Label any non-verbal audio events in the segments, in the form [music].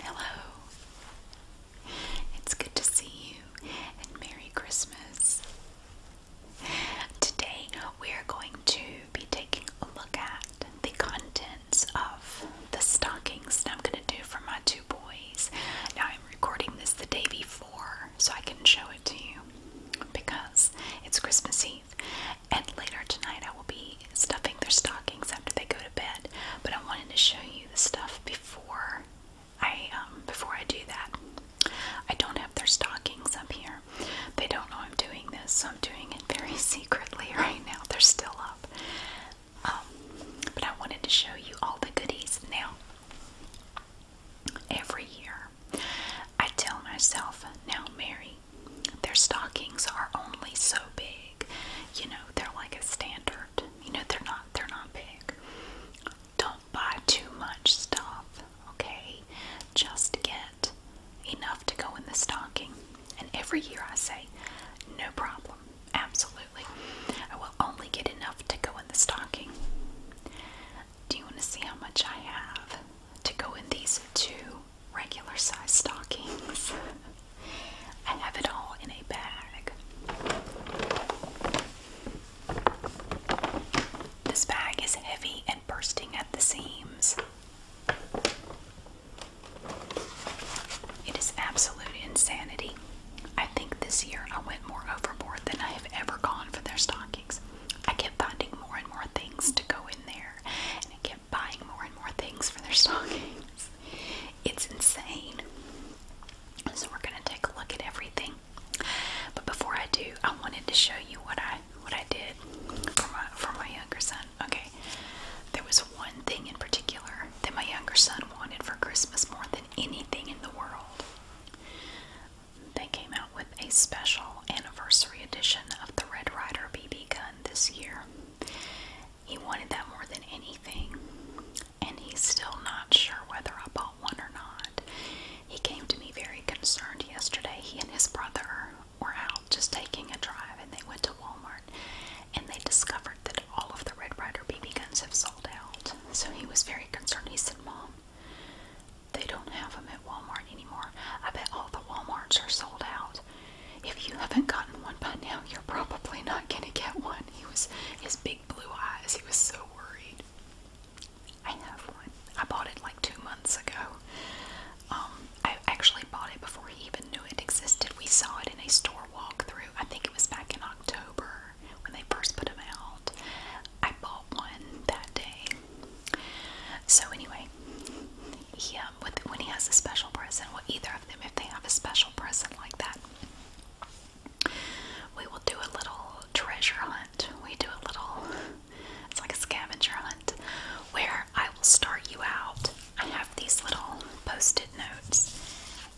Hello. It's good to see you and Merry Christmas. Today we're going to be taking a look at the contents of the stockings that I'm going to do for my two boys. Now I'm recording this the day before so I can show it to you because it's Christmas Eve and later tonight I will be stuffing their stockings after they go to bed, but I wanted to show you the stuff before I um, before I do that. I don't have their stockings up here. They don't know I'm doing this, so I'm doing it very [laughs] secretly right now. They're still up. Um, but I wanted to show you all the goodies. Now, every year, I tell myself, now, Mary, their stockings are only so big you know, they're like a standard. You know, they're not they're not big. Don't buy too much stuff, okay? Just get enough to go in the stocking. And every year I say, no problem. Absolutely. I will only get enough to go in the stocking. Do you want to see how much I have to go in these two regular size stockings? [laughs] I have it all in a bag. This bag is heavy and bursting at the seams. It is absolute insanity. I think this year I went more overboard than I have ever gone for their stockings. I kept finding more and more things to go in there, and I kept buying more and more things for their [laughs] stockings. It's insane. So we're gonna take a look at everything. But before I do, I wanted to show you what I what I did for my for my younger son. Okay. There was one thing in particular that my younger son wanted for Christmas more than anything in the world. They came out with a special anniversary edition of the Red Rider BB gun this year. He wanted that more than anything, and he's still not sure whether I bought one or not. He came to me very concerned yesterday. He and his brother were out just taking a drive, and they went to Walmart and they discovered that all of the Red Ryder BB guns have sold out. So he was very concerned. He said, Mom, they don't have them at Walmart anymore. I bet all the Walmarts are sold out. If you haven't gotten one by now, you're probably not gonna get one. He was his big blue eyes, he was so worried. I have one. I bought it like two months ago. Um, I actually bought it before he even knew it existed. We saw it in a store walk through. I think it was back in October when they first put them out. I bought one that day. So anyway, he, um, um, when he has a special person, well, either of them, if they have a special person like that, we will do a little treasure hunt. We do a little, it's like a scavenger hunt, where I will start you out. I have these little post-it notes,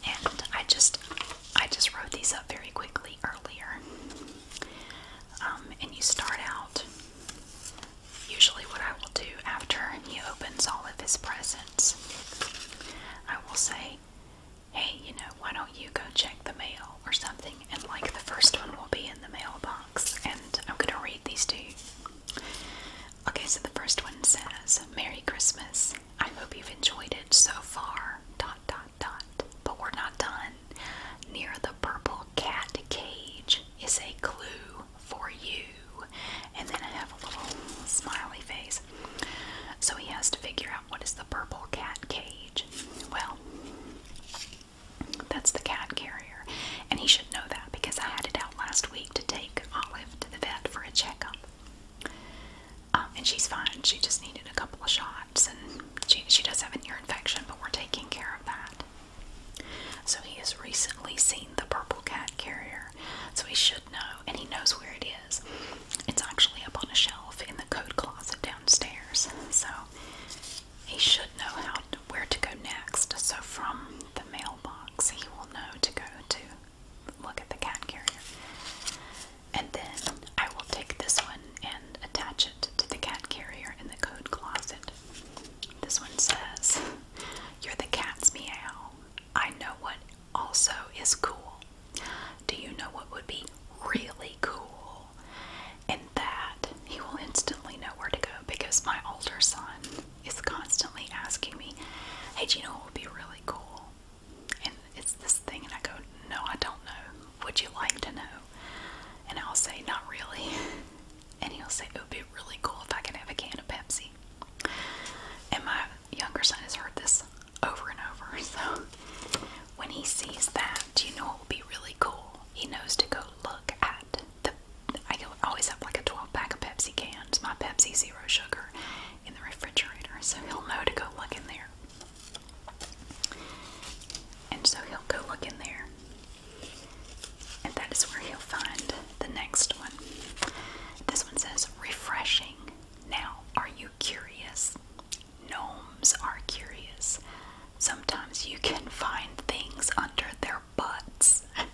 and I just, I just wrote these up very quickly earlier. Um, and you start out Usually, what I will do after he opens all of his presents, I will say, Hey, you know, why don't you go check the mail or something? And like the first one will be in the mailbox, and I'm going to read these to you. Okay, so the first one says, Merry Christmas. I hope you've enjoyed it so far. Dot, dot, dot. But we're not done. Near the purple cat cage is a clue for you and then I have a little smiley face. So he has to figure out what is the purple cat cage. Well, that's the cat carrier, and he should know that because I had it out last week to take Olive to the vet for a checkup. Um, and she's fine. She just needed a couple of shots, and she she does have an ear infection, but we're taking care of that. So he has recently seen the purple cat carrier, so he should know, and he knows where it is. It's actually up on a shelf in the coat closet downstairs, so he should know how where to go next. So from the mailbox, he will know to go to look at the cat carrier. And then I will take this one and attach it to the cat carrier in the coat closet. This one says, You're the cat's meow. I know what also is cool. Do you know what would be really cool? And that he will instantly know where to go because my older son is constantly asking me, Hey, do you know what would be really cool? And it's this thing, and I go, No, I don't know. Would you like to know? And I'll say, Not really. [laughs] And he'll say, It would be really cool if I could have a can of Pepsi. And my younger son has heard this over and over. [laughs] So when he sees that, you know, it will be really cool. He knows to go look at the. I always have like a 12 pack of Pepsi cans, my Pepsi Zero Sugar, in the refrigerator. So he'll know to go look in there. And so he'll go look in there and that is where you'll find the next one. This one says refreshing. Now, are you curious? Gnomes are curious. Sometimes you can find things under their butts. [laughs] and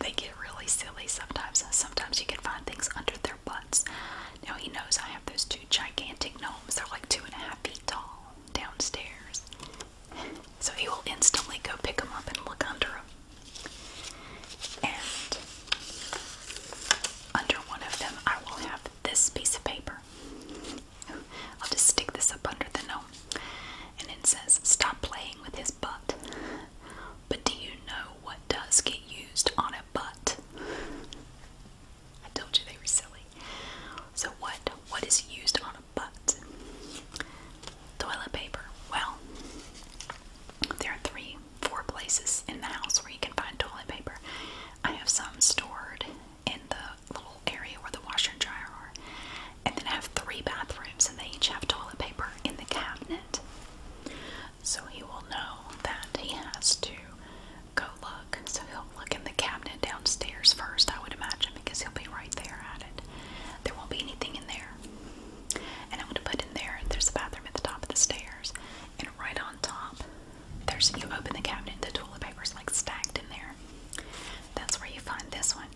they get really silly sometimes. Sometimes you can find things under their butts. Now, he knows I have those two gigantic gnomes. They're like two and a half feet tall downstairs. So he will instantly go pick them up and look under them. And under one of them, I will have this piece of paper. I'll just stick this up under the gnome. And it says, Stop playing with his butt. But do you know what does get used on a butt? I told you they were silly. So what what is used on lot of buts. Toilet paper. Well, there are three, four places in the house where you can find toilet paper. I have some stored in the little area where the washer and dryer are. And then I have three bathrooms, and they each have toilet paper in the cabinet. So he will know that he has to go look. So he'll look in the cabinet downstairs first, I would imagine, because he'll be right there at it. There won't be anything in there and I'm going to put in there, there's a bathroom at the top of the stairs. And right on top, there's you open the cabinet, the toilet paper is like stacked in there. That's where you find this one.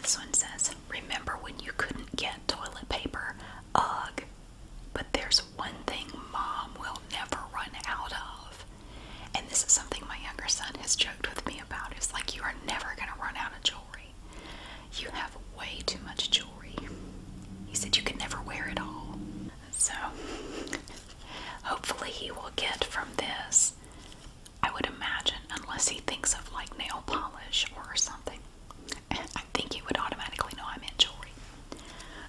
This one says, Remember when you couldn't get toilet paper? Ugh. But there's one thing mom will never run out of and this is something my younger son has joked with me about. Is like, you are never going to run out of jewelry. You have way too much jewelry. He said, you can never wear it all. So, hopefully, he will get from this, I would imagine, unless he thinks of like nail polish or something. I think he would automatically know I'm in jewelry.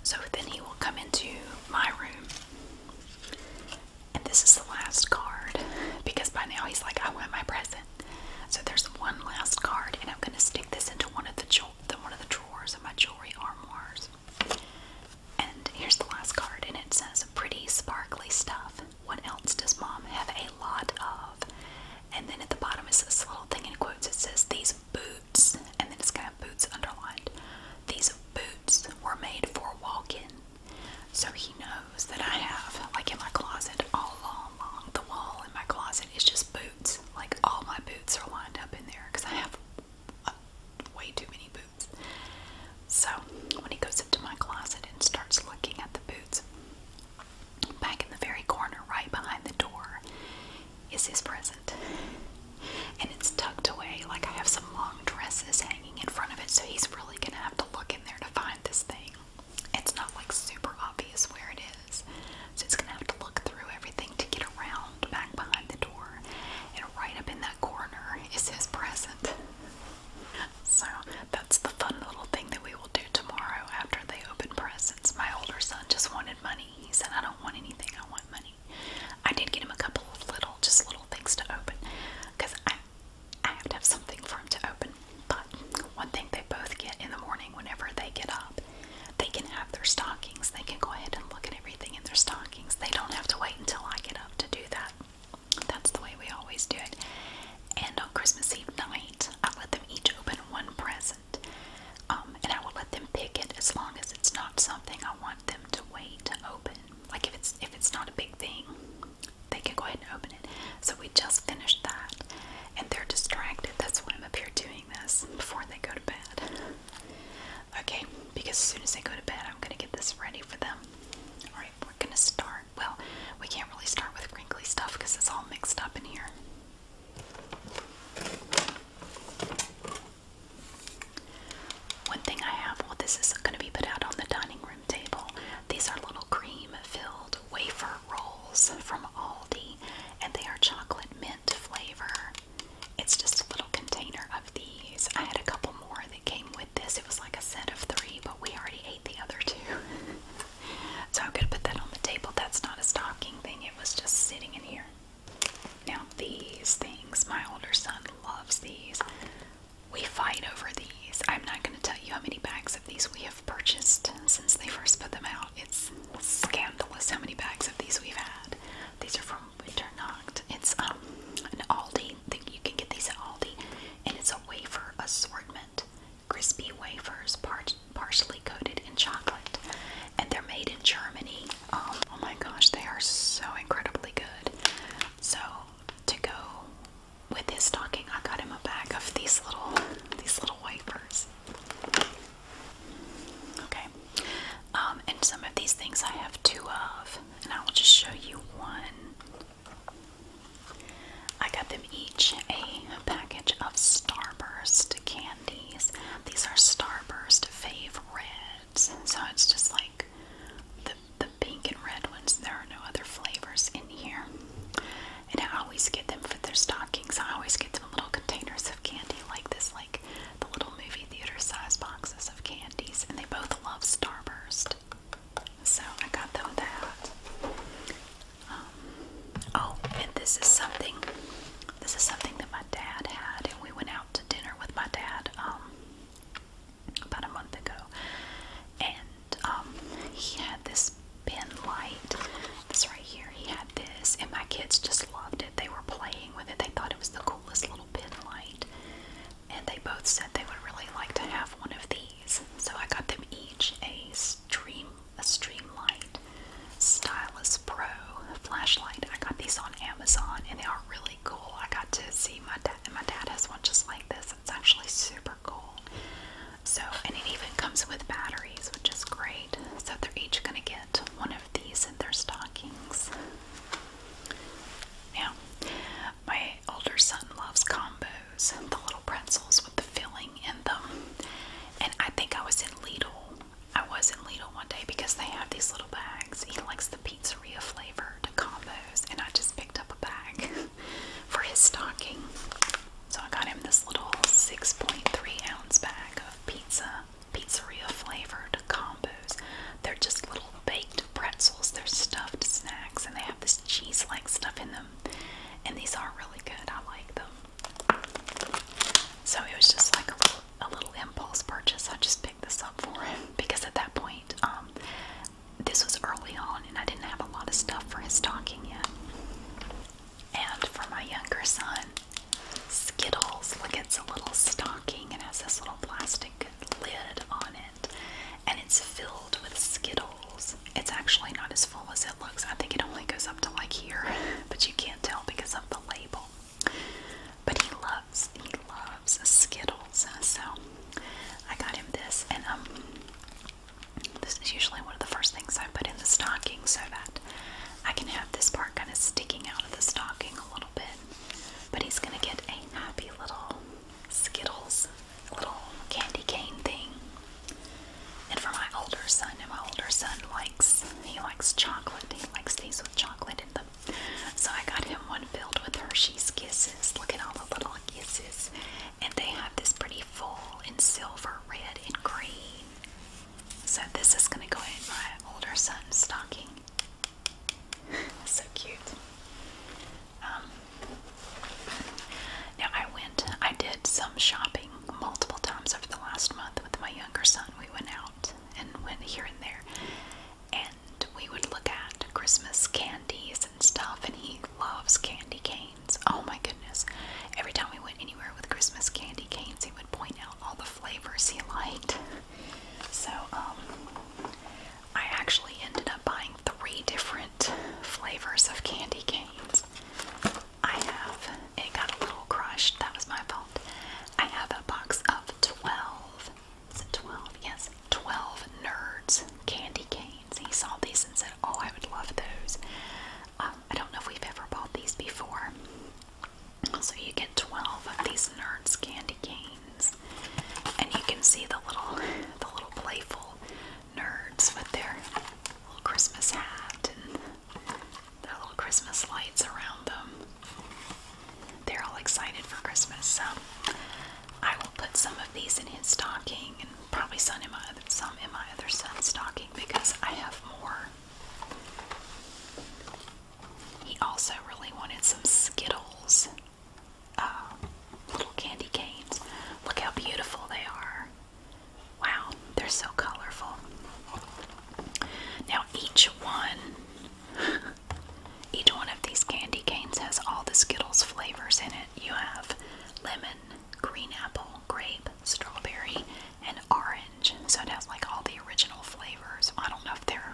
So then he will come into my room and this is the last card because by now he's like, I want my present. So there's one last card, and I'm gonna stick this into one of the one of the drawers of my jewelry armoires. And here's the last card, and it says, "Pretty sparkly stuff. What else does mom have a lot of?" And then at the bottom is this little thing in quotes. It says, "These boots," and then it's gonna boots underlined. These boots were made for walking so he knows that I have, like in my closet, all along, the wall in my closet is just boots. Like all my boots are lined up in there because I have uh, way too many boots. So when he goes into my closet and starts looking at the boots, back in the very corner, right behind the door, is his present. And it's tucked away. Like I have some long dresses hanging hanging in front of it, so he's really gonna have to look in there to find this thing. It's not like super obvious where it is, so he's gonna have to look through everything to get around back behind the door. And right up in that corner is his present. So that's the fun little thing that we will do tomorrow after they open presents. My older son just wanted money. He said, I don't want anything, I want money. I did get him a couple of little, just little things to open because I I have to have something for them to open. But one thing they both get in the morning whenever they get up, they can have their stockings. They can go ahead and look at everything in their stockings. They don't have to wait until I get up to do that. That's the way we always do it. And on Christmas Eve night, I let them each open one present. Um, and I will let them pick it as long as it's not something I want them to wait to open. Like if it's if it's not a big thing, they can go ahead and open it. So we just finished that, and they're distracted. That's why I'm up here doing this before they go to bed. Okay, because as soon as they go to bed, I'm gonna get this ready for them. All right, we're gonna start. Well, we can't really start with crinkly stuff because it's all mixed up in here. One thing I have, well, this is going to be put out on the dining room table. These are little cream filled wafer rolls from Aldi, and they are chocolate mint flavor. It's just a little container of these. I had a couple more that came with this. It was like a set of three, but we already ate the other two. [laughs] so I'm going to put that on the table. That's not a stocking thing, it was just sitting in here. Now, these things, my older son loves these we fight over these. I'm not going to tell you how many bags of these we have purchased since they first put them out. It's scandalous how many bags of these we've had. These are from Winternacht. It's um, an Aldi. You can get these at Aldi, and it's a wafer assortment. Crispy wafers, partially coated in chocolate, and they're made in Germany. Um, oh my gosh, they are so incredibly good. So to go with his stocking, I got him a bag of these little these little wipers. Okay, um, and some of these things I have two of, and I will just show you one. I got them each a package of Starburst candies. These are Starburst Fave Reds, so it's just like the the pink and red ones. There are no other flavors in here. And I always get them for their stockings. I always get them little containers of candy like this, like the little movie theater size boxes of candies. And they both love Starburst. So I got them that. Um, oh, and this is something. This is something that my dad had, and we went out to dinner with my dad um, about a month ago, and um, he had this pin light. This right here, he had this, and my kids just loved it. They were playing with it. They thought it was the coolest little pin light, and they both said they would really like to have one of these. So I got them each a stream, a stream light, stylus pro flashlight. I got these on Amazon, and they are really cool. I got to see my dad, and my dad has one just like this. It's actually super cool. So, and it even comes with batteries, which is great. So, they're each going to get one of these in their stockings. Now, my older son loves combos, and the little pretzels with the filling in them. And I think I was in Lidl. I was in Lidl one day because they have these little bags. He likes the pizzeria flavored combos, and I just picked up a bag [laughs] for his stocking. So I got him this little 6.3 ounce bag of pizza, pizzeria flavored combos. They're just little baked pretzels, they're stuffed snacks, and they have this cheese like stuff in them. And these are really good, I like them. So it was just like a little, impulse purchase. I just picked this up for him [laughs] because at that point, um, this was early on, and I didn't have a lot of stuff for his stocking yet. And for my younger son, Skittles. Look, it's a little stocking and has this little plastic lid on it, and it's filled with Skittles. It's actually not as full as it looks. I think it only goes up to like here, [laughs] but you can't tell because of the label. But he loves loves Skittles, so I got him this, and um, this is usually one of the first things I put in the stocking so that I can have this part kind of sticking out of the stocking a little bit. But he's gonna get a happy little Skittles, little candy cane thing. And for my older son, and my older son likes he likes chocolate. He likes these with chocolate in them. So I got him one filled with Hershey's Kiss Look at all the little kisses. And they have this pretty full in silver, red, and green. So this is going to go in my older son's stocking. [laughs] so cute. Um, now I went, I did some shopping multiple times over the last month with my younger son. We went out and went here and there. And we would look at Christmas candies and stuff, and he loves candy canes. Oh my goodness. Every time we went anywhere with Christmas candy canes, he would point out all the flavors he liked. So, um, I actually ended up buying three different flavors of candy canes. I have, it got a little crushed, that was my fault. I have a box of 12 is it 12? Yes, 12 Nerds candy canes. He saw these and said, Oh, I would love those. Um, I don't know if we've ever bought these before. So you get 12 of these Nerds candy canes. And you can see the little, the little playful nerds with their little Christmas hat and their little Christmas lights around them. They're all excited for Christmas. So I will put some of these in his stocking and probably some in my other, son's stocking because I have more. He also really wanted some Skittles, uh, little candy canes. Look how beautiful they are. Wow, they're so colorful. Now, each one each one of these candy canes has all the Skittles flavors in it. You have lemon, green apple, grape, strawberry, and orange. So it has like all the original flavors. I don't know if they're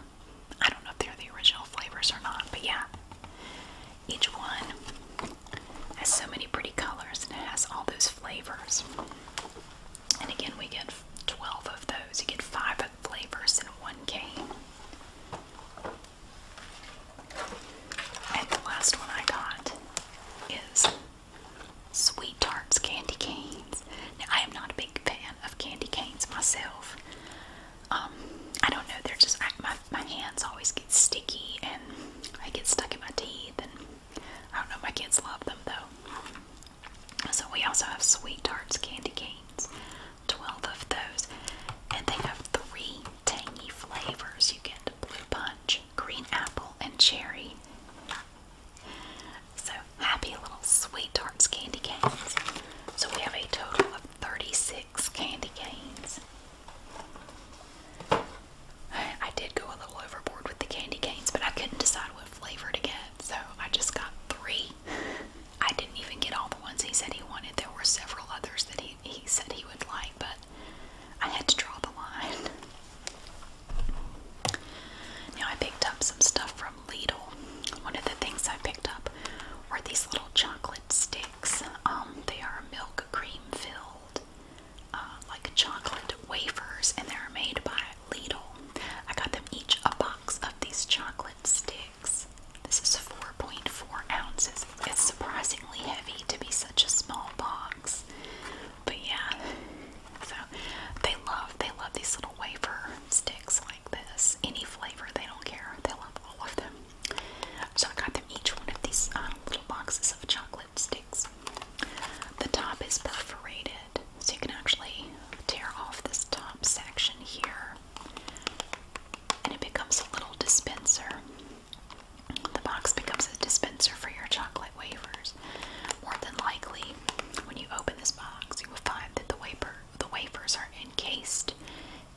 I don't know if they're the original flavors or not, but yeah. Each one has so many pretty colors and it has all those flavors. And again, we get 12 of those. You get five flavors in one cane. And the last one I got is Sweet Tarts Candy Canes. I am not a big fan of candy canes myself. Um, I don't know, they're just, my, my hands always get sticky and I get stuck in my teeth. And I don't know, my kids love them though. So, we also have Sweet Tarts Candy Canes. 12 of those. And they have three tangy flavors. You get blue punch, green apple, and cherry. So happy little sweet tarts candy canes. So we have a total of 36 candy canes. I did go a little overboard with the candy canes, but I couldn't decide what flavor to get, so I just got three. [laughs] I didn't even get all the ones he said he wanted. There were several others that he, he said he would like, but I had to draw the line. Now, I picked up some stuff from Lidl. One of the things I picked up were these little chocolate sticks. Um, they are milk cream filled, uh, like chocolate wafers, and they're made by Lidl. I got them each a box of these chocolate sticks. This is 4.4 ounces. It's surprisingly heavy to be such a small box. But yeah, so they love they love these little wafer sticks like this. Any flavor, they don't care. They love all of them. So I got them each one of these uh, little boxes of chocolate sticks. The top is perforated, so you can actually tear off this top section here and it becomes a little dispenser. The box becomes a dispenser for your chocolate wafers. More than likely, when you open this box, you will find that the wafer the wafers are encased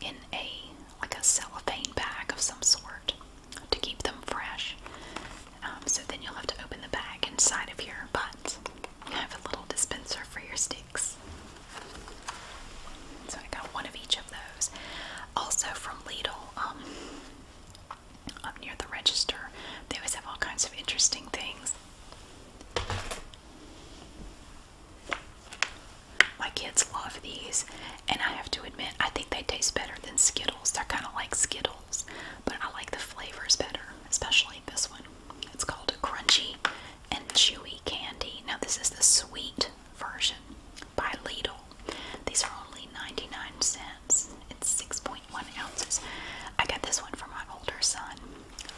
in a like a cellophane bag of some sort to keep them fresh. Um, so then you'll have to open the bag inside of here, but you have a little dispenser for your sticks. So I got one of each of those. Also from Lidl, um, near the register, they always have all kinds of interesting things. My kids love these, and I have to admit, I think they taste better than Skittles. They're kind of like Skittles, but I like the flavors better, especially this one. It's called a crunchy and chewy candy. Now, this is the sweet version by Lidl. These are only 99 cents. It's 6.1 ounces. I got this one for my older son.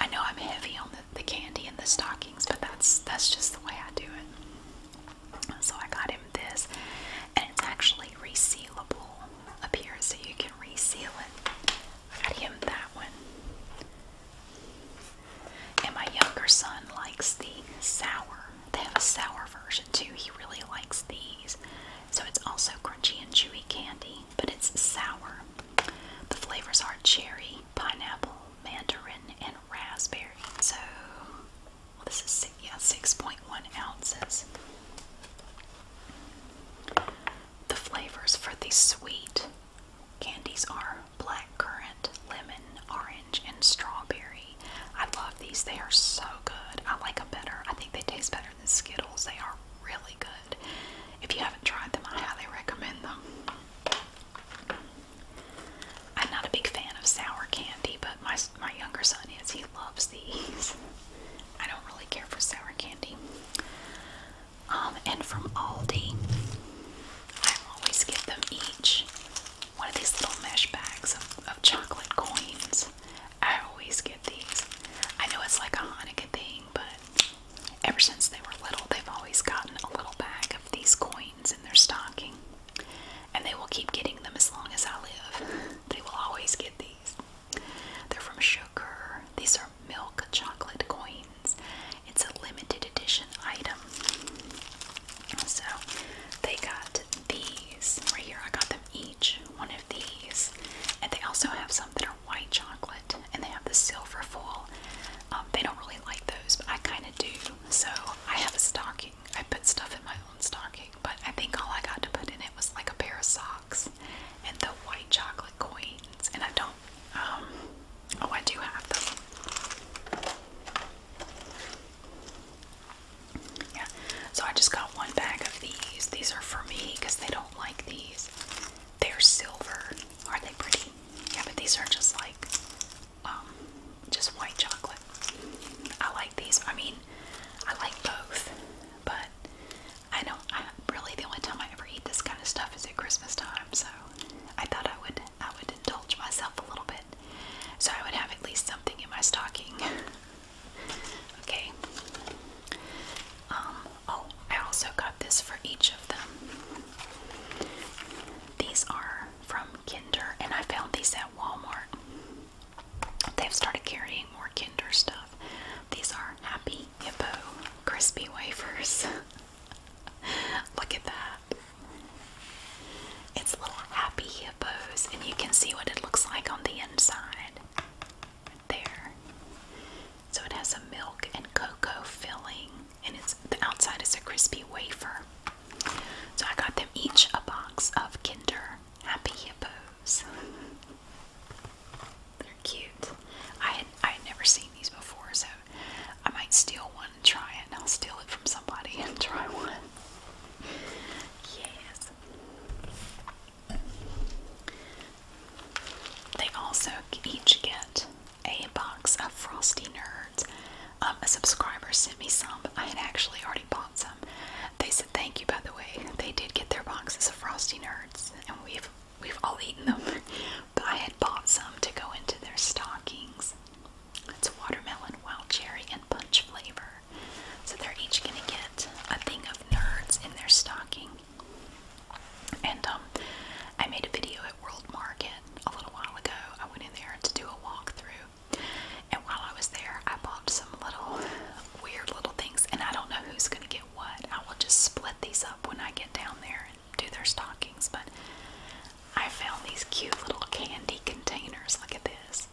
I know I'm heavy on the, candy and the stockings, but that's that's just the way I do it. So I got him this, and it's actually resealable up here, so you can reseal it. I got him that one. And my younger son likes the sour. They have a sour version too. He really likes these. So it's also crunchy and chewy candy, but it's sour. The flavors are cherry, pineapple, mandarin, and raspberry. So this is yeah, 6.1 ounces. The flavors for the sweet Candies are black currant, lemon, orange, and strawberry. I love these. They are so good. I like them better. I think they taste better than Skittles. They are really good. If you haven't tried them, I highly recommend them. I'm not a big fan of sour candy, but my my younger son is. He loves these. I don't really care for sour candy. Um, and from Aldi, I always get them each one of these little mesh bags of, of chocolate coins. I always get these. I know it's like a Hanukkah thing, but ever since they were little, they've always gotten a little bag of these coins in their stocking. And they will keep getting them as long as I live. [laughs] They will always get these. They're from Sugar. These are milk chocolate coins. It's a limited edition item. So they got these right here. I got them each one of these. And they also have some that are white chocolate and they have the silver foil. Um, they don't really like those, but I kind of do. So I have a stocking. I put stuff in my own stocking, but I think all I got to put in it was like a pair of socks and the white chocolate coins. And I don't um, oh, I do have them. Yeah, so I just got one bag of these. These are for me because they don't like these. They're silver. are they pretty? Yeah, but these are just like, um, just white chocolate. I like these. I mean, I like both, but I don't. really the only time I ever eat this kind of stuff is at Christmas time. So I thought I would I would indulge myself a little bit. So I would have at least something in my stocking. [laughs] okay. Um, oh, I also got this for each of them. These are from Kinder, and I found these at Walmart. They've started carrying more Kinder stuff. These are Happy Hippo Crispy Wafers. [laughs] Look at that. It's little happy hippos, and you can see what it looks like on the inside. there. So it has a milk and cocoa filling, and it's the outside is a crispy wafer. So I got them each a box of Kinder Happy Hippos. They're cute. I I had never seen these before, so I might steal one and try it, and I'll steal it from somebody and try one. Yes. They also each get a box of Frosty Nerds. Um, a subscriber sent me some. I had actually already bought some. They said thank you, by the way. They did get their boxes of Frosty Nerds, and we've we've all eaten them. [laughs] But I had bought some to go into their stockings. It's watermelon, wild cherry, and punch flavor. So they're each going to get a thing of nerds in their stocking. And um, I made a video at World Market a little while ago. I went in there to do a walk through, And while I was there, I bought some little weird little things. And I don't know who's going to get what. I will just split these up when I get down there do their stockings, but I found these cute little candy containers. Look at this.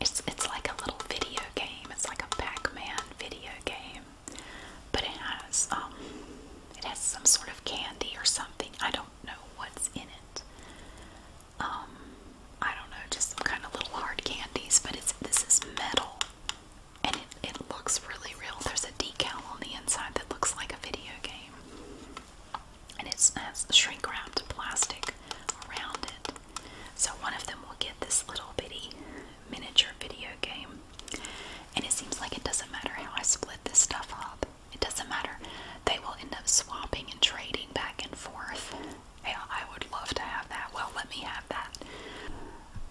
It's it's like a little video game. It's like a Pac-Man video game. But it has um it has some sort of candy or something. I don't know what's in it. Um I don't know, just some kind of little hard candies, but it's this is metal. And it, it looks really real. There's a decal on the inside that looks like a video game. And it's shrink wrapped plastic around it. So one of them will get this little bitty miniature video game. And it seems like it doesn't matter how I split this stuff up, it doesn't matter. They will end up swapping and trading back and forth. I would love to have that. Well, let me have that.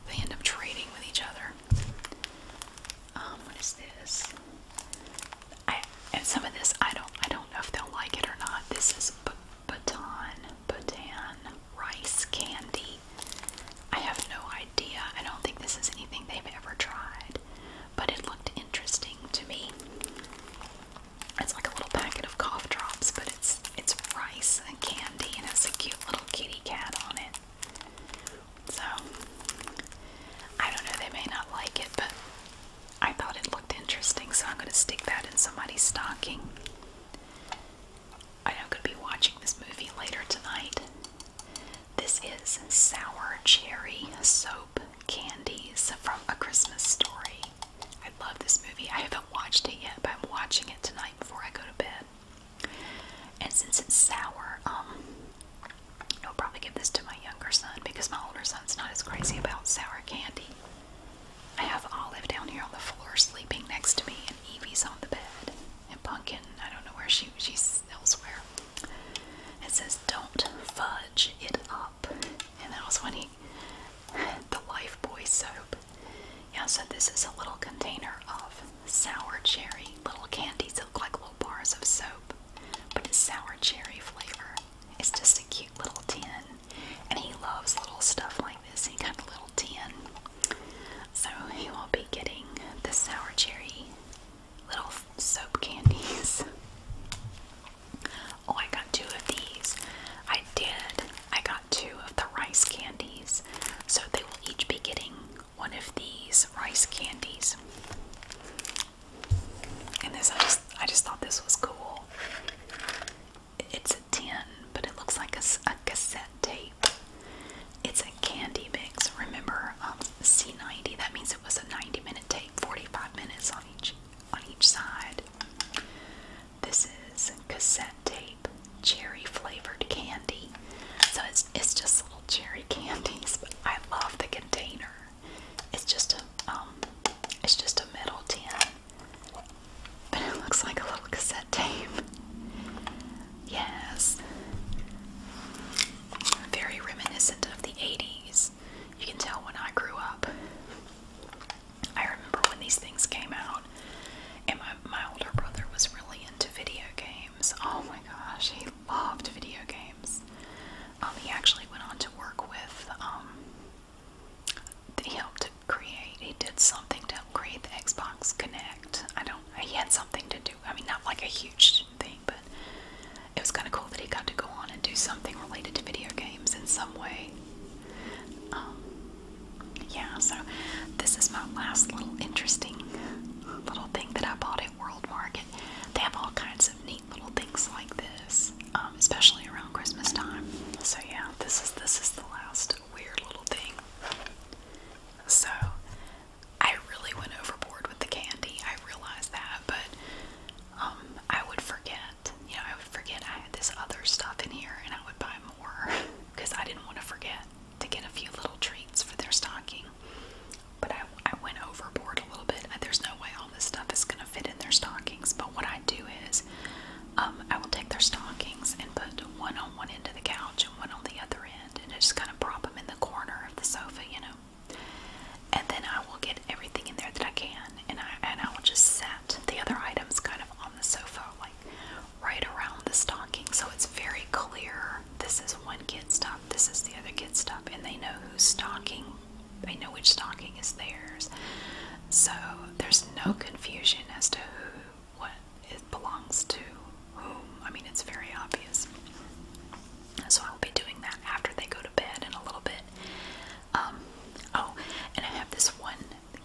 They end up trading with each other. Um, what is this? I and some of this I don't I don't know if they'll like it or not. This is baton baton rice candy. I have no idea. I don't think this is anything they've ever tried, but it looked interesting to me. It's like a little packet of cough drops, but it's it's rice and candy and has a cute little kitty cat on it. So I don't know, they may not like it, but I thought it looked interesting, so I'm gonna stick that in somebody's stocking. I I'm gonna be watching this movie later tonight. This is sour cherry soap candies from A Christmas Story. I love this movie. I haven't watched it yet, but I'm watching it tonight before I go to bed. And since it's sour, um, I'll probably give this to my younger son because my older son's not as crazy about sour candy. I have Olive down here on the floor sleeping next to me, and Evie's on the bed, and Pumpkin. I don't know where she she's elsewhere. It says, "Don't fudge it up," and that was when he had [laughs] the Life Boy soap. Yeah, so this is a little container of sour cherry little candies. They look like bars of soap, but it's sour cherry flavor. It's just a cute little tin, and he loves little stuff like this. He kind of little tin, so he will be getting the sour cherry little soap candies. [laughs] Oh, I got two of these. I did. I got two of the rice candies, so they will each be getting one of these rice candies. And this I just I just thought this was cool. It's a tin, but it looks like a, cassette tape. It's a candy mix. Remember um, C90? That means it was a 90-minute tape, 45 minutes on each on each side. This is cassette tape, cherry flavored candy. So it's it's just cherry candies, but I love the container. It's just a um, it's just a metal tin, but it looks like a little cassette tape. Yes, very reminiscent of the '80s. You can tell when I grew up. I remember when these things came out, and my my older brother was really into video games games. Oh my gosh, he loved video games. Um, he actually went on to work with, um, he helped create, he did something to help create the Xbox Connect. I don't, he had something to do, I mean, not like a huge thing, but it was kind of cool that he got to go on and do something related to video games in some way. Um, yeah, so this is my last little interesting little thing that I bought at World Market. They have all kinds of neat little things like this, um, especially around Christmas time. So yeah, this is this is the last weird little thing. So I really went overboard with the candy. I realized that, but um, I would forget. You know, I would forget I had this other stuff in here, and I would buy more because [laughs] I didn't want to forget to get a few little treats for their stocking. But I, I went overboard a little bit. There's no way all this stuff is going to fit in their stockings. But what I do is um, I will take their stockings and put one on one end of the couch and one on the other end. And I just kind of prop them in the corner of the sofa, you know. And then I will get everything in there that I can. And I, and I will just set the other items kind of on the sofa, like right around the stocking. So it's very clear this is one kid's stuff this is the other kid's stuff, and they know who's stocking, they know which stocking is theirs. So there's no confusion as to who, what it belongs to whom. I mean, it's very obvious. So I'll be doing that after they go to bed in a little bit. Um, oh, and I have this one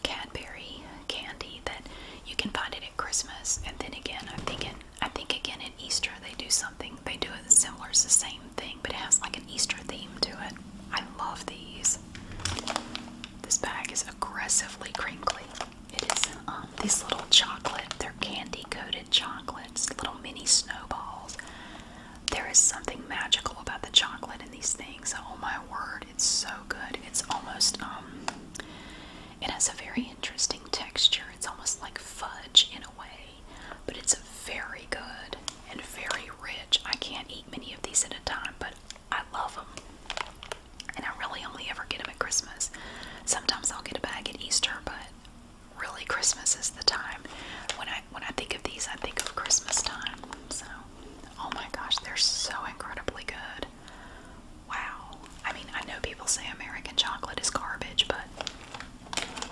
Cadbury candy that you can find it at Christmas, and then again, I'm thinking I think again at Easter they do something. They do it similar. It's the same thing, but it has like an Easter theme to it. I love these. This bag is aggressively crinkly. It is um, these little chocolate. They're candy coated chocolates. Little mini snowballs. There is something magical about the chocolate in these things. Oh my word, it's so good. It's almost um, it has a very interesting texture. It's almost like fudge in a way, but it's very good and very rich. I can't eat many of these at a time, but I love them. And I really only ever get them at Christmas. Sometimes I'll get a bag at Easter, but really Christmas is the time. When I when I think of these, I think of Christmas time. So, oh my gosh, they're so incredibly good. Wow. I mean, I know people say American chocolate is garbage, but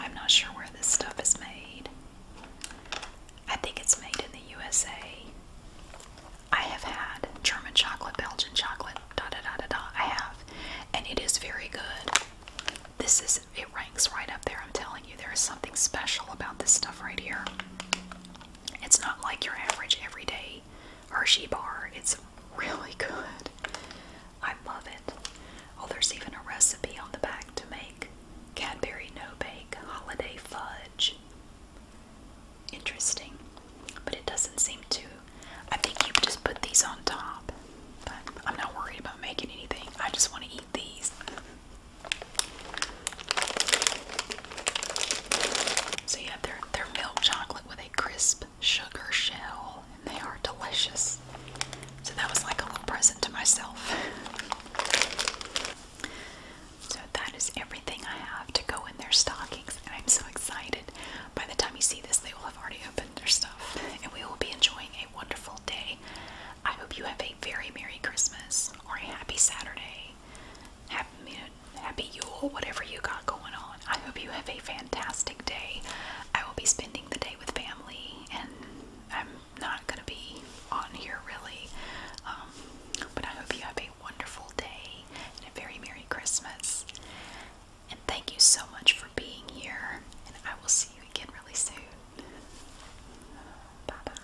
I'm not sure where this stuff is made. I think it's made in the USA. I have had German chocolate, Belgian chocolate, da da da da da. I have. And it is very good. This is, it ranks right up there. I'm telling you, there is something special about this stuff right here. It's not like your average everyday Hershey bar. It's really good. I love it. Oh, there's even a recipe on the back to make Cadbury No Bake Holiday Fudge. Interesting, but it doesn't seem to. I think you just put these on top, but I'm not worried about making anything. I just want to eat these. So yeah, they're, they're milk chocolate with a crisp sugar shell, and they are delicious. So that was like a little present to myself. so that is everything I have to go in their stockings, and I'm so excited. By the time you see this, they will have already opened their stuff, and we will be enjoying a wonderful day. I hope you have a very Merry Christmas or a Happy Saturday. Happy, happy Yule, whatever you got going on. I hope you have a fantastic day. I will be spending the day with family, and I'm not going to be on here really. Um, but I hope you have a wonderful day and a very Merry Christmas. And thank you so much for being here, and I will see you again really soon. Bye bye.